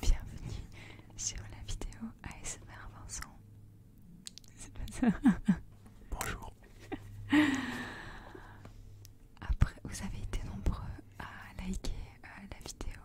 Bienvenue sur la vidéo ASMR Vincent. C'est pas ça Bonjour. Après, vous avez été nombreux à liker euh, la vidéo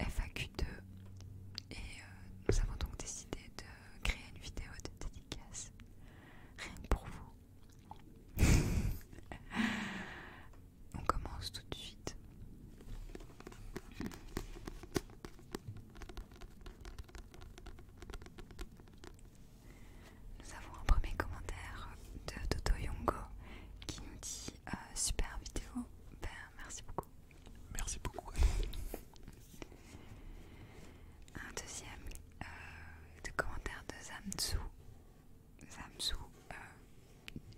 FAQ2 et euh, nous avons donc décidé de créer une vidéo de dédicace rien que pour vous. on commence tout de suite. Nous avons un premier commentaire de Toto Yongo qui nous dit euh, super vidéo. Ben, merci beaucoup. Merci beaucoup. Un deuxième euh, de commentaire de Zamzu. Zamzu, euh,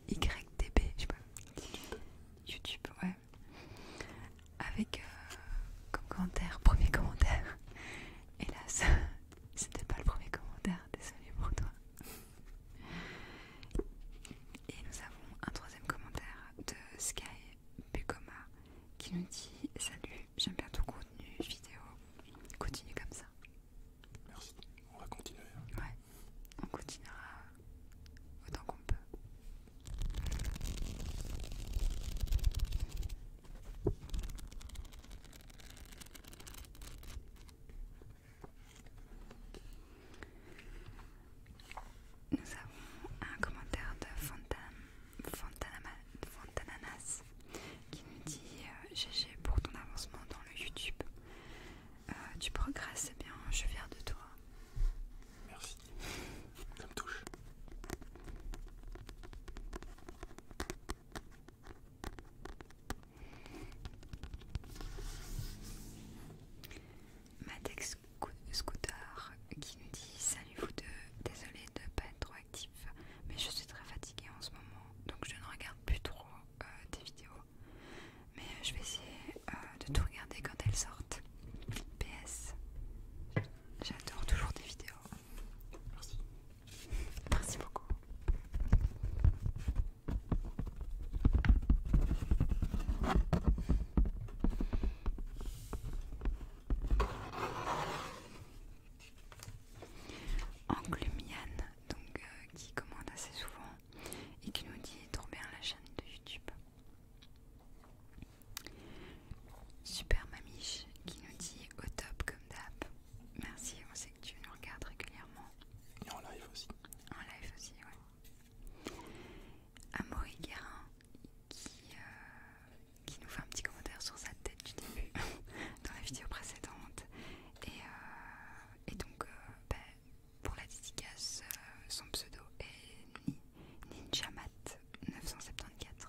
YTB, je sais pas, YouTube, ouais, avec euh, comme commentaire, premier commentaire. Hélas, c'était pas le premier commentaire, désolé pour toi. Et nous avons un troisième commentaire de Sky Bukoma qui nous dit Salut, j'aime bien ton contenu vidéo, continue comme ça. Merci, on va continuer. Hein. Ouais on continuera autant qu'on peut. Nous avons un commentaire de Fantananas Fontananas qui nous dit GG euh, pour ton avancement dans le YouTube tu euh, progresses, c'est bien, je viens de toi. Merci, ça me touche. Matex Scooter qui nous dit Salut vous deux, désolé de ne pas être trop actif, mais je suis très fatiguée en ce moment donc je ne regarde plus trop euh, tes vidéos. Mais euh, je vais essayer euh, de tout regarder quand elles sortent. PS. J'adore toujours tes vidéos. Merci. Merci beaucoup. Anglumian, donc euh, qui commande assez souvent et qui nous dit trop bien la chaîne de YouTube. Super Mamiche qui nous dit au top comme d'hab. Merci, on sait que tu nous regardes régulièrement. Et en live aussi. En live aussi, ouais. Amaury Guérin qui, euh, qui nous fait un petit commentaire sur sa tête du début dans la vidéo précédente. Et, euh, donc, euh, bah, pour la dédicace, euh, son pseudo est Ninjamat974.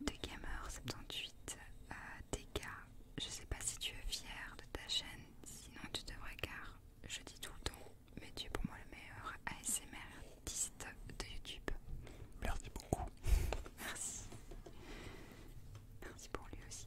De Gamer78, DK. je sais pas si tu es fier de ta chaîne, sinon tu devrais car je dis tout le temps, mais tu es pour moi le meilleur ASMRtiste de YouTube. Merci beaucoup. Merci. Merci pour lui aussi.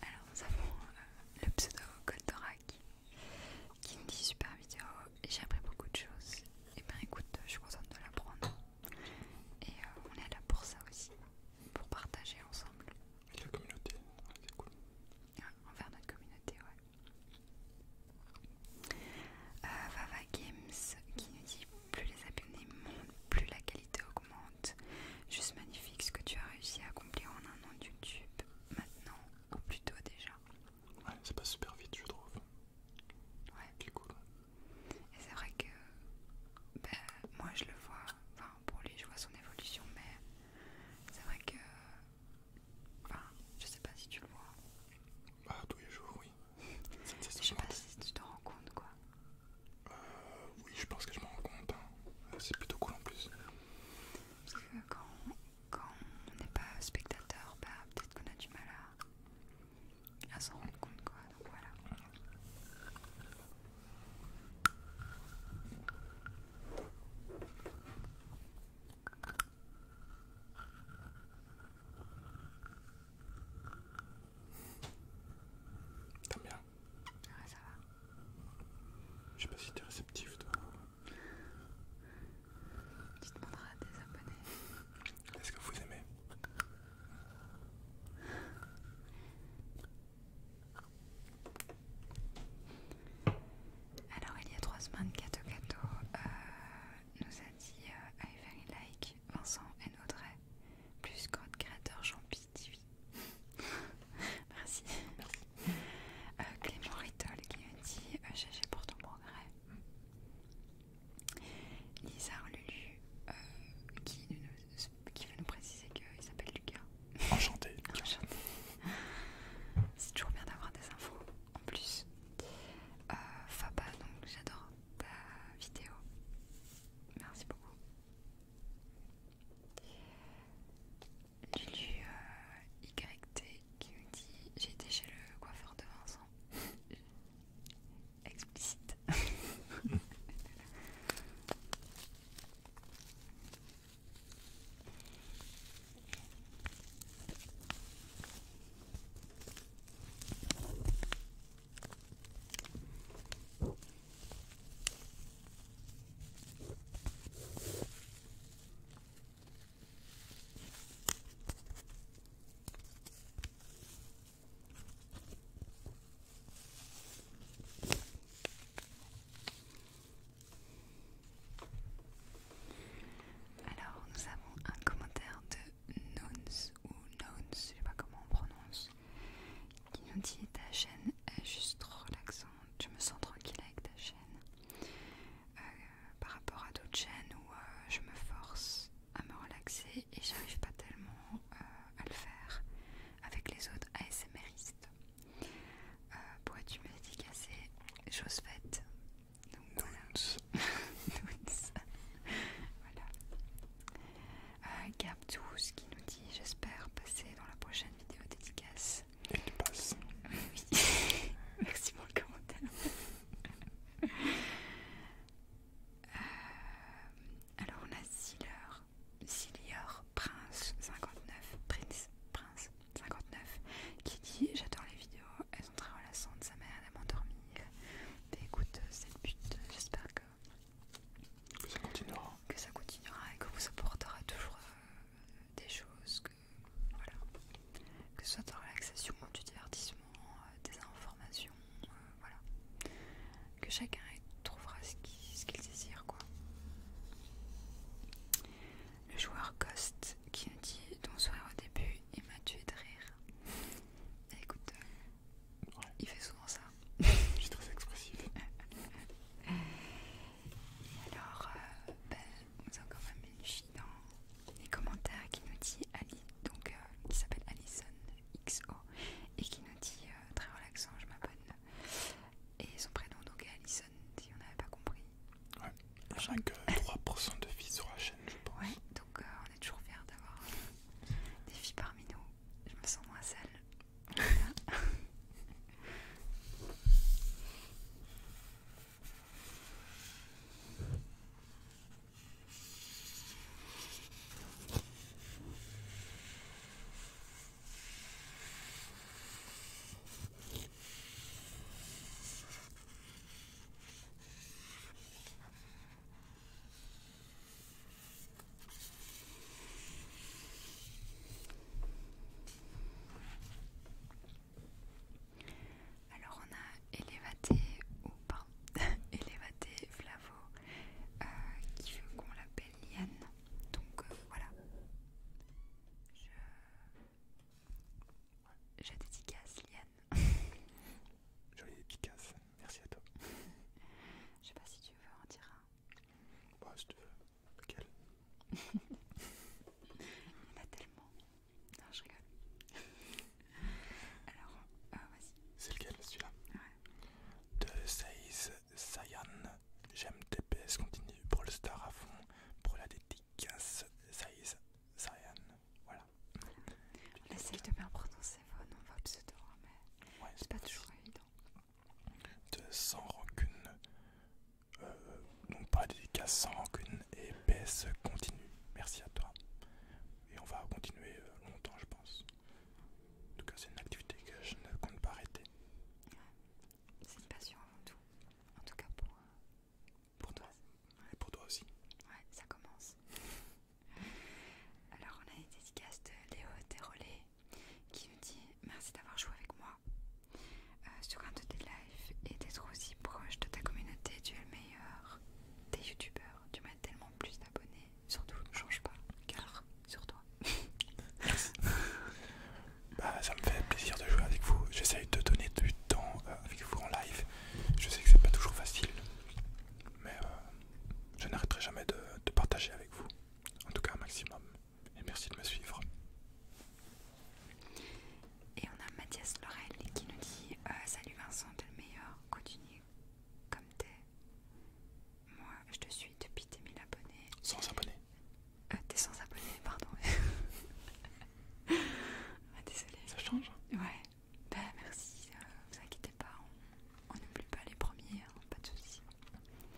Alors nous avons euh, le pseudo Goldorak qui me dit super vidéo et j'ai appris beaucoup de choses. Et eh ben écoute, je suis contente de l'apprendre. Et euh, on est là pour ça aussi, pour partager ensemble. Et la communauté, c'est cool. envers notre communauté, ouais. Euh, Vava Games qui nous dit plus les abonnés montent, plus la qualité augmente. Juste magnifique ce que tu as réussi à accomplir en un an YouTube maintenant, ou plutôt déjà. Ouais, ça passe super vite, je trouve. Ouais. C'est cool. Et c'est vrai que ben, moi je le vois, enfin pour lui je vois son évolution, mais c'est vrai que. Enfin, je sais pas si tu le vois. Bah, tous les jours, oui. Je sais pas si tu te rends compte quoi. Euh, oui, je pense que je m'en rends compte. Hein. C'est plutôt cool en plus. Parce que quand, on n'est pas spectateur, bah, peut-être qu'on a du mal à, s'en rendre compte quoi. Donc voilà. T'aimes bien Ouais, ça va. Je sais pas si t'es réceptif, toi. Tu demanderas à tes abonnés. Est-ce que vous aimez Alors, il y a trois semaines, Kato Kato nous a dit euh, I very like Vincent et Audrey, plus code créateur jean pierre Merci. Euh, Clément Ritol qui a dit j'ai euh, cherché pour ton progrès. Lisa Lulu qui, veut nous préciser qu'il s'appelle Lucas. Enchanté. C'est toujours bien d'avoir des infos en plus. Euh, Faba, donc j'adore ta vidéo. Merci beaucoup. Lulu euh, qui me dit J'ai été chez le coiffeur de Vincent. Explicite. Alors, nous avons un commentaire de Nones ou Nones, je sais pas comment on prononce, qui nous dit ta chaîne est juste relaxante, je me sens tranquille avec ta chaîne. Euh, par rapport à d'autres chaînes où euh, je me force à me relaxer et je j'arrive pas tellement euh, à le faire avec les autres ASMRistes. Pourquoi Pourrais-tu me ces Chose faite, donc, voilà. voilà. Euh, qui nous dit J'espère passer dans la prochaine vidéo dédicace. Oui. Merci pour le commentaire. Euh, alors on a Ziller, Ziller Prince 59, Prince, Prince 59 qui dit J'adore les vidéos, façon très sa sa mère à m'endormir. Bah, écoute, euh, c'est le but, euh, j'espère que, ça continuera. Que ça continuera et que vous apportera toujours euh, des choses que voilà. Que ce soit de relaxation, du divertissement, des informations, voilà. Que chacun trouvera ce qu'il désire quoi. Le joueur Ghost qui nous dit ton sourire au début il m'a tué de rire. Écoute, il fait souvent ça. Je suis trop expressive. Et alors, on euh, ben, a nous quand même une fille dans les commentaires qui nous dit Ali, donc euh, qui s'appelle Alison XO et qui nous dit euh, très relaxant, je m'abonne. Et son prénom donc est Alison, si on n'avait pas compris. Ouais, chaque 3% de filles sur la chaîne, je pense. Ouais, donc toujours fiers d'avoir euh, des filles parmi nous. Je me sens moins seule. Alors on a Elevate ou pas Elevate Flavo euh, qui veut qu'on l'appelle Liane. Donc euh, voilà. Je, dédicace Liane. Jolie dédicace merci à toi. Je sais pas si tu veux en dire un. Bah, si tu veux. Lequel Il y en a tellement. Non, je rigole. Alors, euh, vas-y. C'est lequel celui-là Ouais. De Seize Sayan. J'aime TPS continue. le Star à fond. Pour la dédicace. Seize Sayan voilà. On essaye de bien prononcer vos noms, vos pseudos, mais ouais, c'est pas toujours évident. De sans rancune, euh, donc pas dédicace sans rancune et PS continue. Merci à toi. Et on va continuer euh, longtemps, je pense. En tout cas, c'est une activité que je ne compte pas arrêter. C'est une passion avant tout. En tout cas pour, euh, pour toi. Et pour toi aussi. Ouais, ça commence. Alors on a une dédicace de Léo Térolet qui nous dit merci d'avoir joué avec moi euh, sur un de tes lives et d'être aussi proche de ta communauté. Tu es le meilleur des youtubeurs. Tu m'as tellement plus d'abonnés. Surtout, ne change pas. Car sur toi. Bah, ça me fait plaisir de jouer avec vous. J'essaye de donner du temps euh, avec vous en live. Je sais que c'est pas toujours facile mais euh, je n'arrêterai jamais de, partager avec vous, en tout cas un maximum. Et merci de me suivre. Et on a Mathias Lorel qui nous dit euh, Salut Vincent, t'es le meilleur, continue comme t'es. Moi, je te suis depuis tes 1000 abonnés. Sans abonnés euh, T'es sans abonnés, pardon. ah, désolé. Ça change hein. Ouais. Bah merci, euh, vous inquiétez pas, on n'oublie pas les premiers, hein, pas de soucis.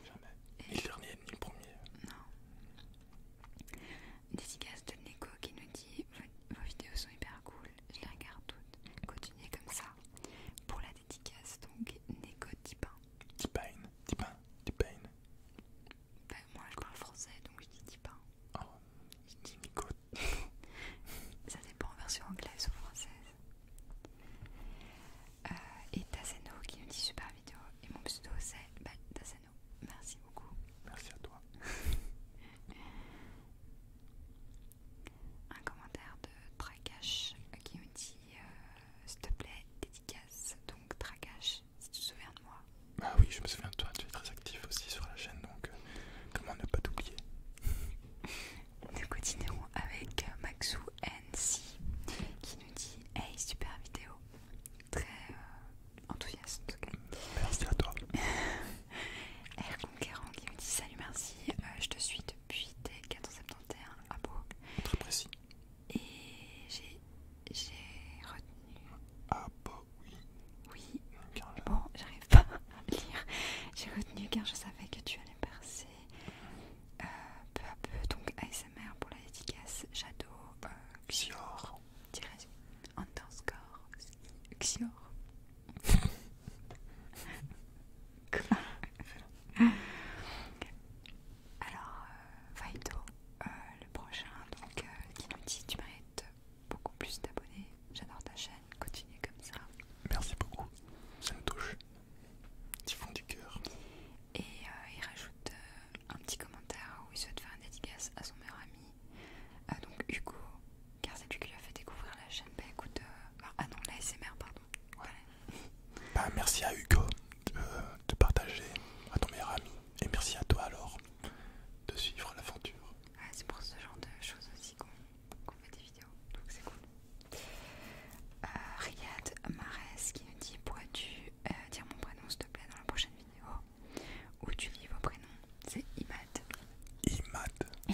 Jamais. Et... Ni le dernier, ni le premier. Non. Dédicace de Neko qui nous dit vos, vidéos sont hyper cool, je les regarde toutes. Continuez comme ça. Pour la dédicace, donc Neko Tipin. Tipin, Tipin, Tipin. Bah moi je parle français donc je dis Tipin. Ah je Ça dépend en version anglaise ou française. Euh, et Tassano qui nous dit super vidéo. Et mon pseudo c'est bah, Merci beaucoup. Merci à toi. Un commentaire de Trakash qui nous dit euh, s'il te plaît, dédicace. Donc Trakash, si tu te souviens de moi. Bah oui, je me souviens de toi, tu es très actif aussi sur la chaîne donc euh, comment ne pas t'oublier Nous continuons avec Maxou NC qui nous dit Hey, super vidéo! Très euh, enthousiaste en tout cas. Merci à toi. R. Conquerant qui nous dit Salut, merci, euh, je te suis depuis dès 471 à Bourg. Très précis. Et j'ai retenu. Ah, bah oui. Oui. Bon, j'arrive pas. J'ai retenu car je savais que tu allais percer euh, peu à peu. Donc ASMR pour la dédicace, Shadow, euh, Xior, underscore, Xior. Alors, va euh, le prochain, donc qui nous dit tu mérites beaucoup plus d'abonnés. J'adore ta chaîne, continue comme ça. Merci beaucoup, ça me touche. du fond du cœur. Et euh, il rajoute euh, un petit commentaire où il souhaite faire une dédicace à son meilleur ami, euh, donc Hugo, car c'est lui qui lui a fait découvrir la chaîne. Bah écoute, ah, ah non, la pardon. Bah merci à Hugo de, partager à ton meilleur ami, et merci à toi alors de suivre l'aventure. Ouais, c'est pour ce genre de choses aussi qu'on fait des vidéos, donc c'est cool. Euh, Riyad Mares qui nous dit Pourrais-tu euh, dire mon prénom s'il te plaît dans la prochaine vidéo où tu lis vos prénoms C'est Imad. Imad.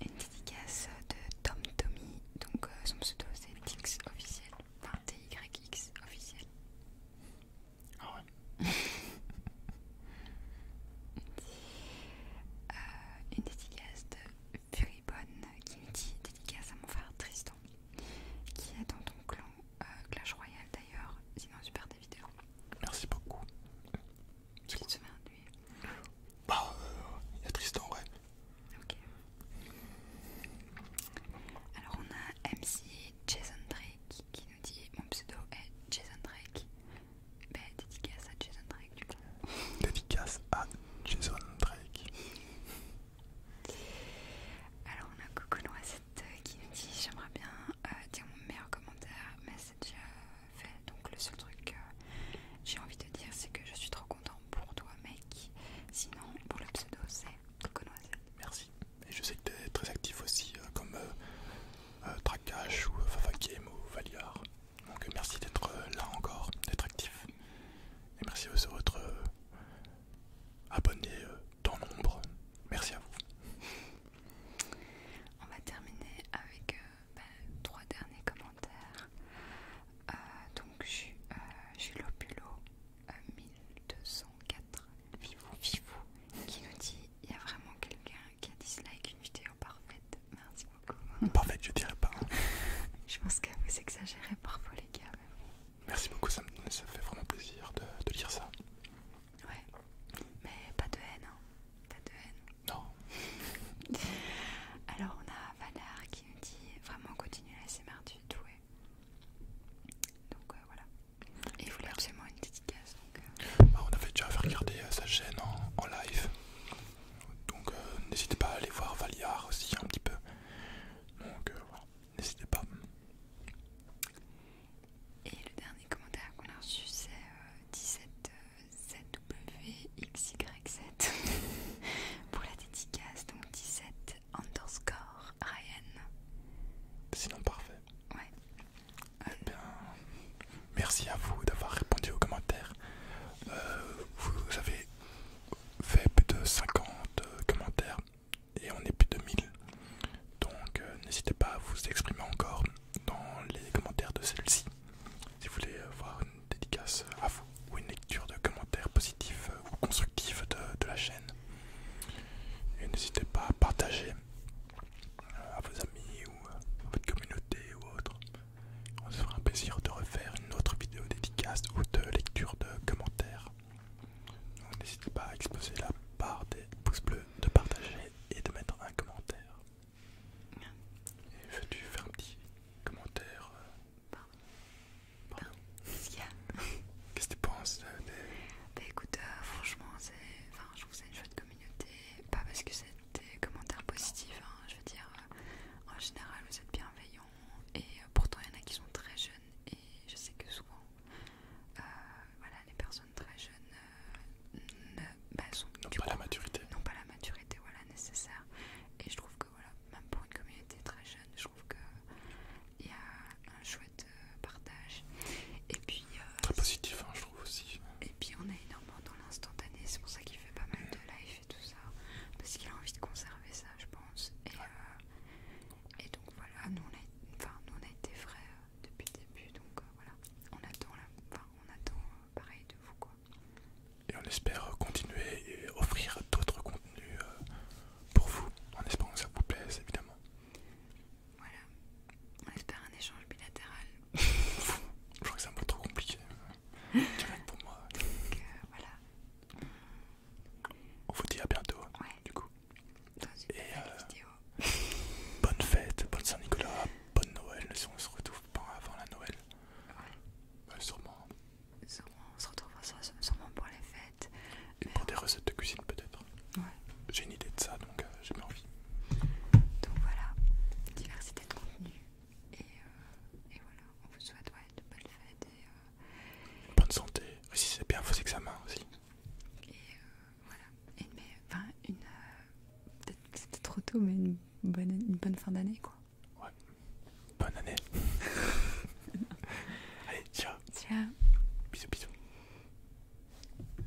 Une dédicace de Tom Tommy, donc euh, son pseudo c'est Tix officiel, TYX officiel. Ah ouais. Euh, une dédicace de Furibonne qui me dit dédicace à mon frère Tristan qui est dans ton clan euh, Clash Royale d'ailleurs, sinon super des vidéos. Merci beaucoup. C'est cool. lui. Bah, euh, il y a Tristan, ouais. Ok. Alors on a MC Jason Drake qui nous dit mon pseudo est Jason Drake. Ben, dédicace à Jason Drake du coup. Dédicace à Jason Drake. Alors on a Coco Noisette euh, qui nous dit j'aimerais bien euh, dire mon meilleur commentaire mais c'est déjà euh, fait donc le seul truc que j'ai envie de dire c'est que je suis trop content pour toi mec sinon pour le pseudo c'est Coco Noisette. Merci. Et je sais que tu es très actif aussi, euh, comme euh, euh ou euh, Fafakim ou Valiar. Donc merci d'être là encore, d'être actif. Et merci aussi aux autres abonnés dans l'ombre. Merci à vous. On va terminer avec bah, trois derniers commentaires. donc je Lopulo 1204 vous vive vous, qui nous dit il y a vraiment quelqu'un qui a dislike une vidéo parfaite. Merci beaucoup. Parfaite, je dirais pas. Hein. je pense que vous exagérez parfois, les gars. Merci beaucoup, ça, me, ça fait vraiment plaisir de, lire ça. Ouais, mais pas de haine, hein. Pas de haine. Non. Alors, on a Valar qui nous dit vraiment continue la SMR du doué. Donc, euh, voilà. Et il voulait absolument une dédicace. Donc... Euh. Bah, on avait déjà fait regarder euh, sa chaîne en, live. Donc euh, n'hésitez pas à aller voir Valiard aussi un petit peu. Donc voilà, n'hésitez pas. Et le dernier commentaire qu'on a reçu c'est 17 zwxyz 7 pour la dédicace, donc 17 underscore Ryan. Sinon parfait. Ouais, eh bien, merci à vous d'avoir répondu aux commentaires. Euh, vous avez fait plus de 50 euh, commentaires et on est plus de 1000. Donc euh, n'hésitez pas à vous exprimer encore dans les commentaires de celle-ci. Si vous voulez avoir une dédicace à vous ou une lecture de commentaires positifs ou constructifs de, de la chaîne. Et n'hésitez pas à partager à vos amis ou à votre communauté ou autre. On se fera un plaisir de refaire une autre vidéo dédicace ou de lecture de commentaires. n'hésitez pas à exploser la barre des pouces bleus, de partager et de mettre un commentaire. Et veux-tu faire un petit commentaire euh, Pardon. Qu'est-ce que tu penses euh, des... Bah, écoute, euh, franchement, c'est... Enfin, je vous fais c'est une pas parce que c'est des commentaires positifs, hein, je veux dire, euh, en général vous êtes bienveillants et euh, pourtant il y en a qui sont très jeunes et je sais que souvent euh, voilà, les personnes très jeunes bah, n'ont pas la maturité. pas la maturité voilà, nécessaire et je trouve que voilà, même pour une communauté très jeune, je trouve qu'il y a un chouette euh, partage. Et puis, euh, Très positif, hein, je trouve aussi. Et puis on est énormément dans l'instantané, c'est pour ça qu'il fait pas mal de live et tout ça. Parce qu'il a envie de conserver ça, je pense. Et, euh, donc voilà, nous on, a, été frais depuis le début, donc voilà. On attend, on attend pareil de vous quoi. Et on espère continuer et offrir d'autres contenus pour vous, en espérant que ça vous plaise évidemment. Voilà, on espère un échange bilatéral. Je crois que c'est un peu trop compliqué. Direct pour moi. Donc euh, voilà. On vous dit à bientôt. Hein, du coup. Et euh, bonne fête, bonne Saint-Nicolas, bonne Noël. Si on se retrouve pas avant la Noël. Ouais. sûrement. Hein. sûrement. On se retrouve sûrement pour les fêtes. Et pour euh, des recettes de cuisine peut-être. J'ai une idée de ça, donc euh, j'ai bien envie. Donc voilà, diversité de contenu. Et, euh, voilà, on vous souhaite de belles fêtes. Et, euh, Bonne santé, aussi c'est bien vos examens aussi. Et voilà, une. peut-être c'était trop tôt, mais une bonne, fin d'année Ouais, bonne année. Allez, ciao. Ciao. Bisous, bisous.